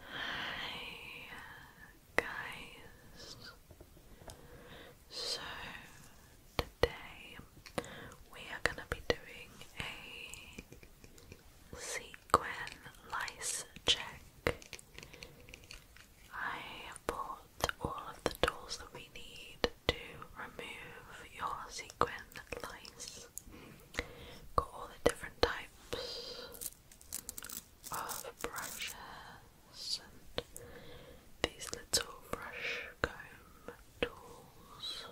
Hi guys. So today we are going to be doing a sequin lice check. I bought all of the tools that we need to remove your sequin lice. Got all the different types of brushes and these little brush comb tools,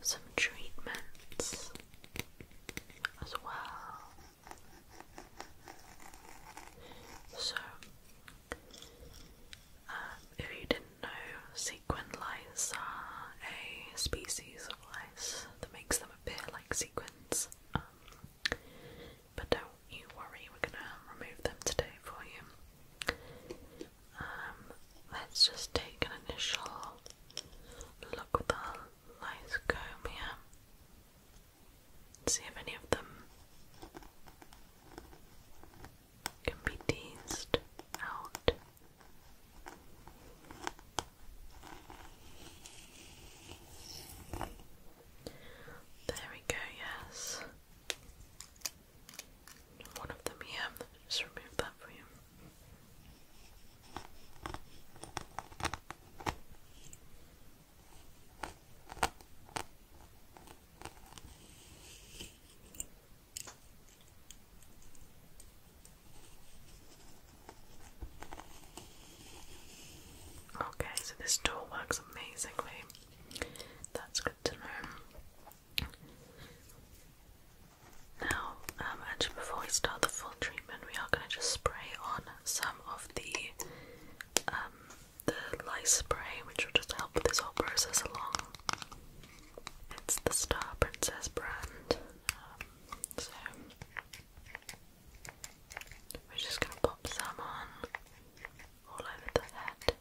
some treatments as well. So, um, if you didn't know, sequin lice are a species of lice that makes them kind like sequence. Um, but don't you worry, we're gonna remove them today for you. Um, let's just take an initial look with our light comb here. See if any of them can be teased out. There we go, yes. One of them here, just remove that for you. Okay, so this tool works amazingly. That's good to know. Now, um, actually, before we start the full treatment, we are going to just spray on some of the um, the lice spray, which will just help this whole process along. It's the Star Princess brand. Um, so we're just going to pop some on all over the head. Good.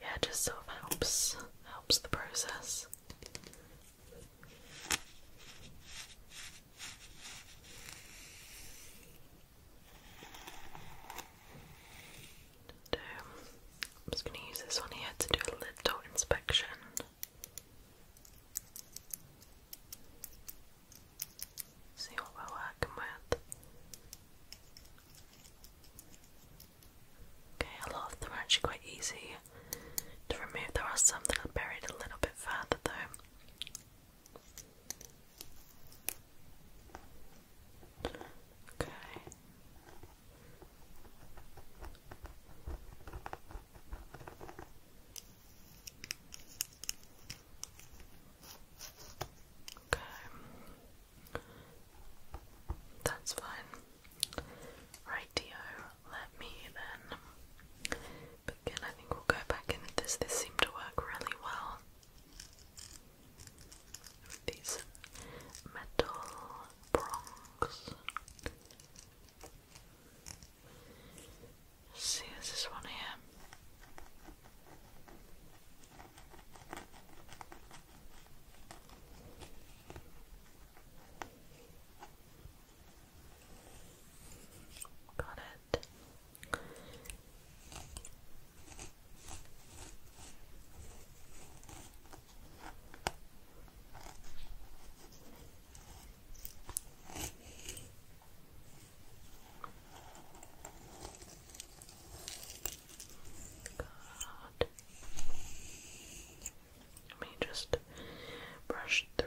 Yeah, just so it helps helps the process. I'm just going to use this one here to do a little inspection. See what Okay, a lot of them are actually quite easy to remove. There are some that are buried a little bit further though. Okay. Okay. That's fine. Rightio, let me then begin. I think we'll go back in this. This seemed to work really well. these metal prongs. see, there's this one here. Got it. God. Let me just brush through.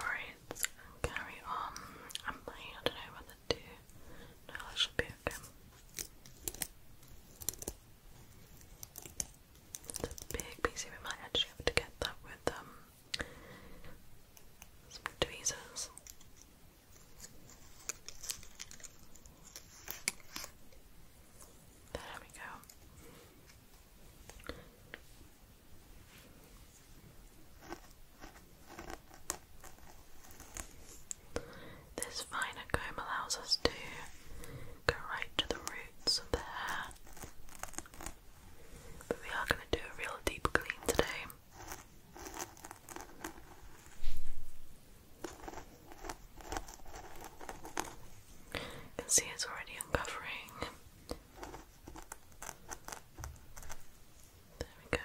Alright, carry on. I'm like, I don't know whether to. No, that should be okay big piece of it. might to get that with um, tweezers. There we go. This finer comb allows us to go right to the root but we are going to do a real deep clean today. You can see it's already uncovering. There we go.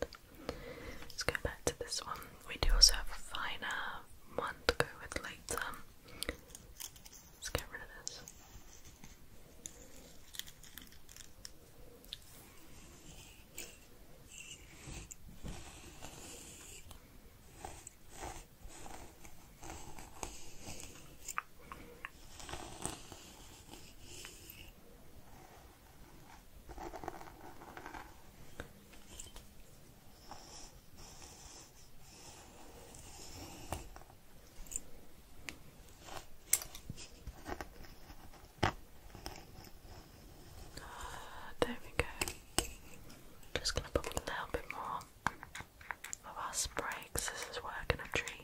it. Let's go back to this one. We do also have a finer uh, one to go with later. Let's get rid of this. Ah, there we go. Just gonna put a little bit more of our spray this is what we treat.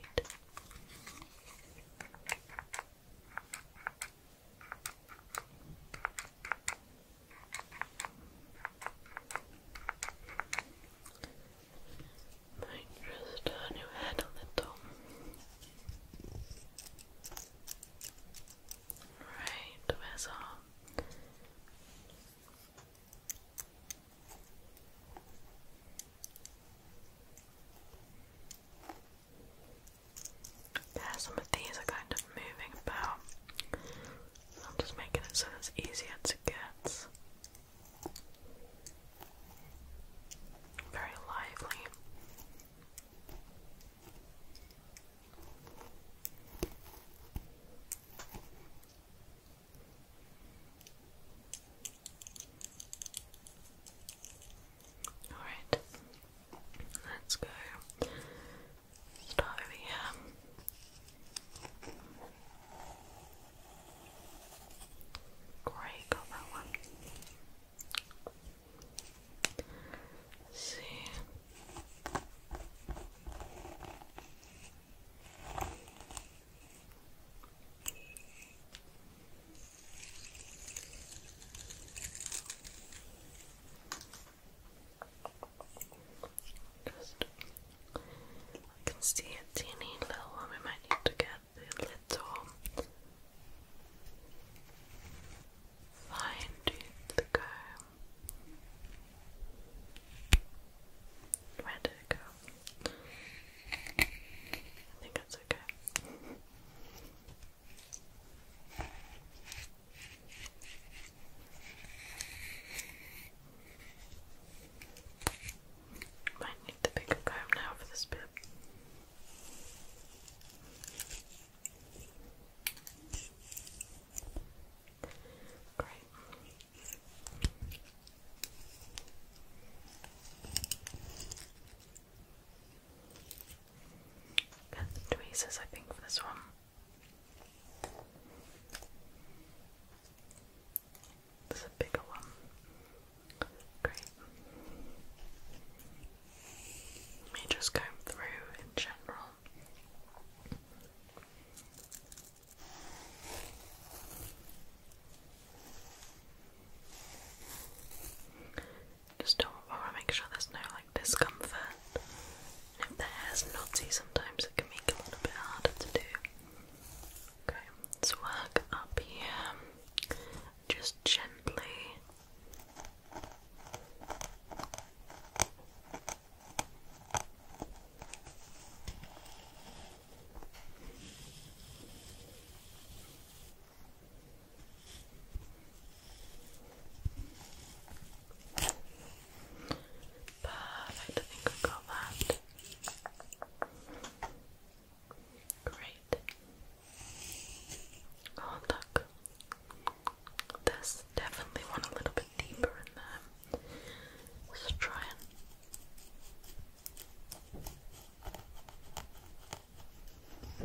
Might just turn your head a little. Right, where's yeah, some of these are kind of moving about. I'm just making it so it's easier to get. Very lively. Alright, let's go. Start over here. Great, got that one. see. Just, I can see a teeny little one. We might need to get the little fine tooth to Where did it go? I think it's okay. Might need the bigger comb now for this bit. Great tweezers, I think, for this one. This is a bigger one. Great. Let me just comb through in general. Just don't want to make sure there's no like discomfort. And if the hair's knotty, sometimes it can make it a little bit harder to do. Okay, let's work up here, just gently. Perfect, I think we've got that. Great. Oh, look. There's definitely one a little bit deeper in there. Let's try and Oh. Good. Got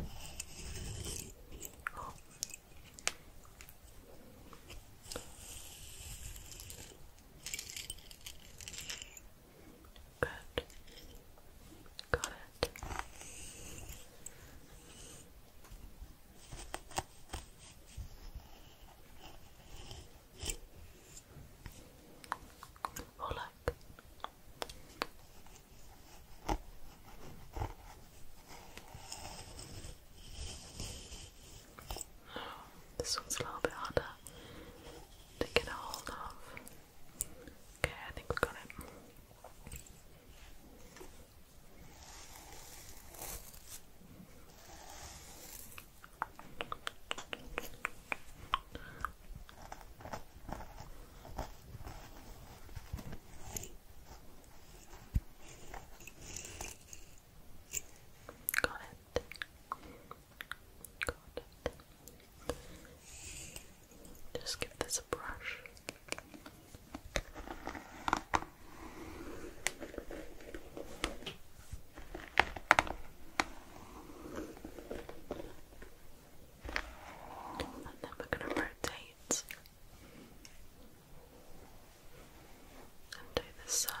it. Oh look. This one's a little bit harder to get a hold of. Okay, I think we got it. Got it. Got it. Just give this a brush. And then we're going to rotate and do this side.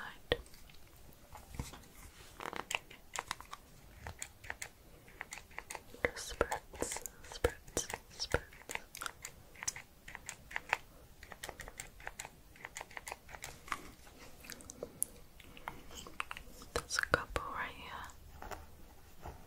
spritz, spritz, spritz. There's a couple right here.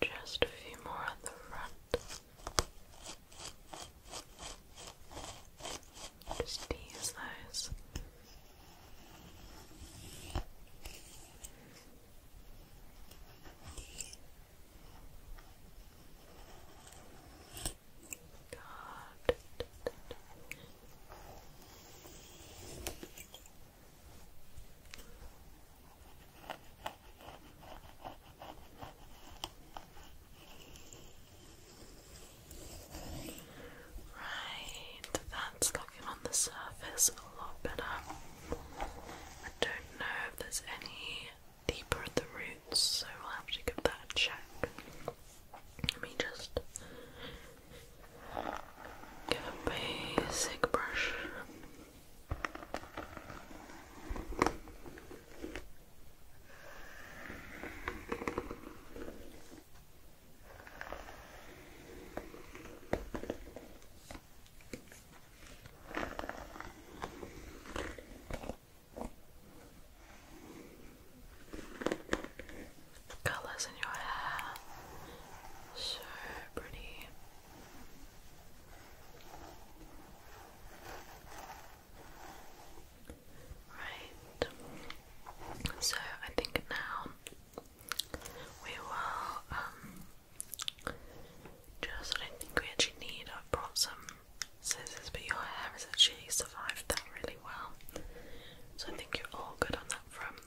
Just a few more at the front. Just ease those. God. Right, that's looking on the surface a lot better. I don't know if there's any deeper at the roots, so we'll have to give that a check. Let me just get a basic brush. Colors in your hair, so pretty. Right, so I think now we will um, just what I think need. I've brought some scissors, but your hair has actually survived that really well. So I think you're all good on that front.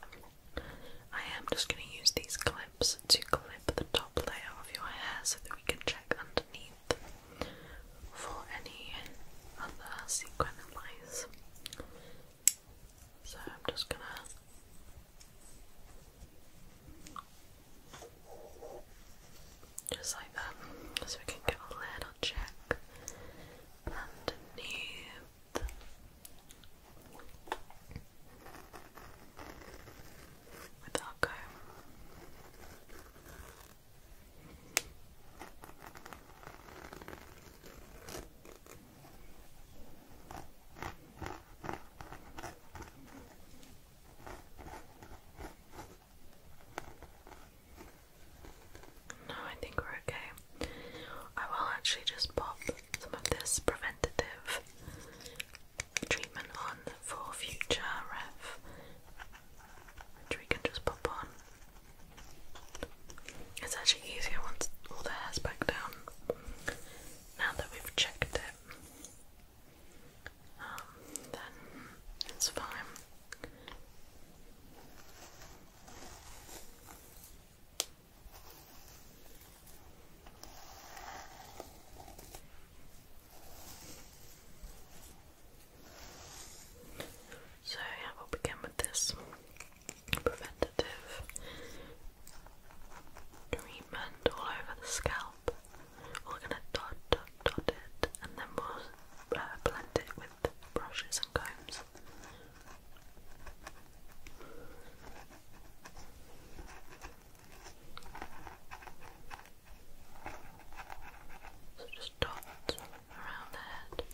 I am just going to use these clips to clip the top layer of your hair so that we can check underneath for any other sequin advice. So I'm just gonna just like that, so we can give a little check underneath. With our no, I think we're okay. I will actually just pop some of this preventative treatment on for future ref, which we can just pop on. It's actually easier once all the hair's back down. Now that we've checked it then it's fine. So, yeah, we'll begin with this preventative treatment all over the scalp. We're going to dot, dot, dot it, and then we'll uh, blend it with brushes and combs. So just dots around the head.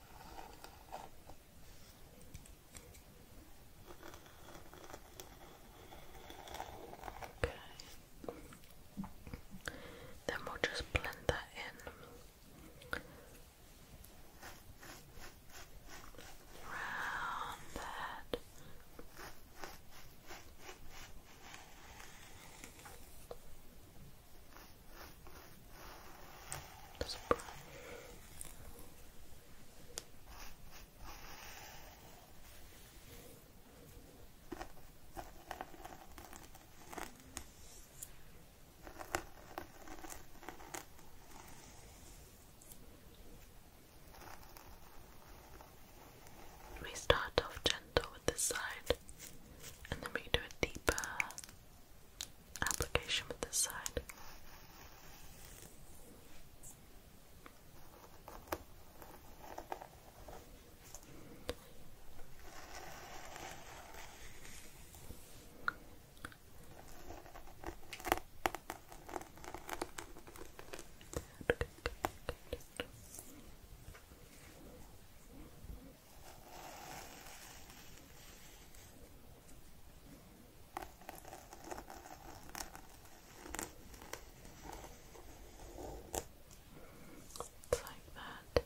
Okay. Then we'll just blend that in. Round the just brush. We start off gentle with this side and then we do a deeper application with this side. It's like that.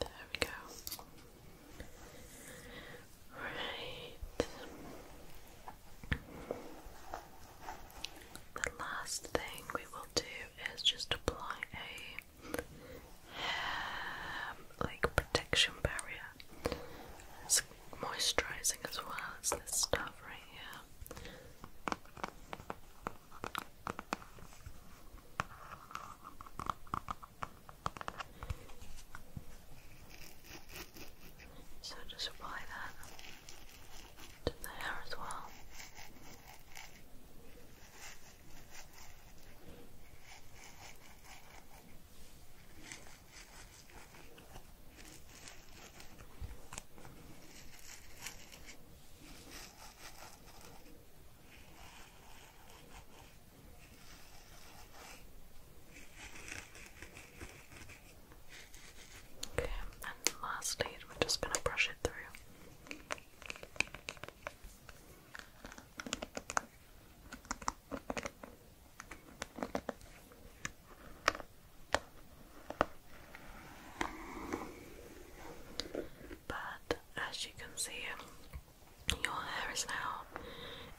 There we go. Right. The last thing we will do is just apply a like protection barrier. moisturizing as well as this stuff right here. So just apply that to the hair as well. Okay, and lastly, we're just going to brush it through. But as you can see, your hair is now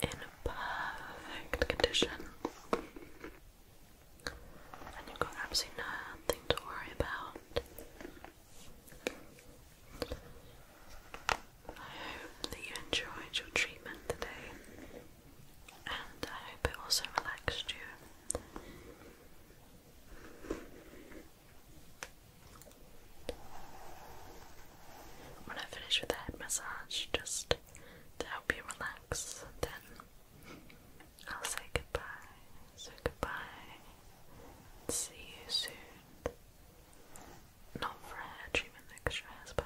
in perfect condition. And you've got absolutely nothing to worry about. I hope that you enjoyed your treatment today, and I hope it also relaxed you. When I finish with the head massage, just to help you relax, then I'll say goodbye. So goodbye. See you soon. Not for hair treatment that stress, but.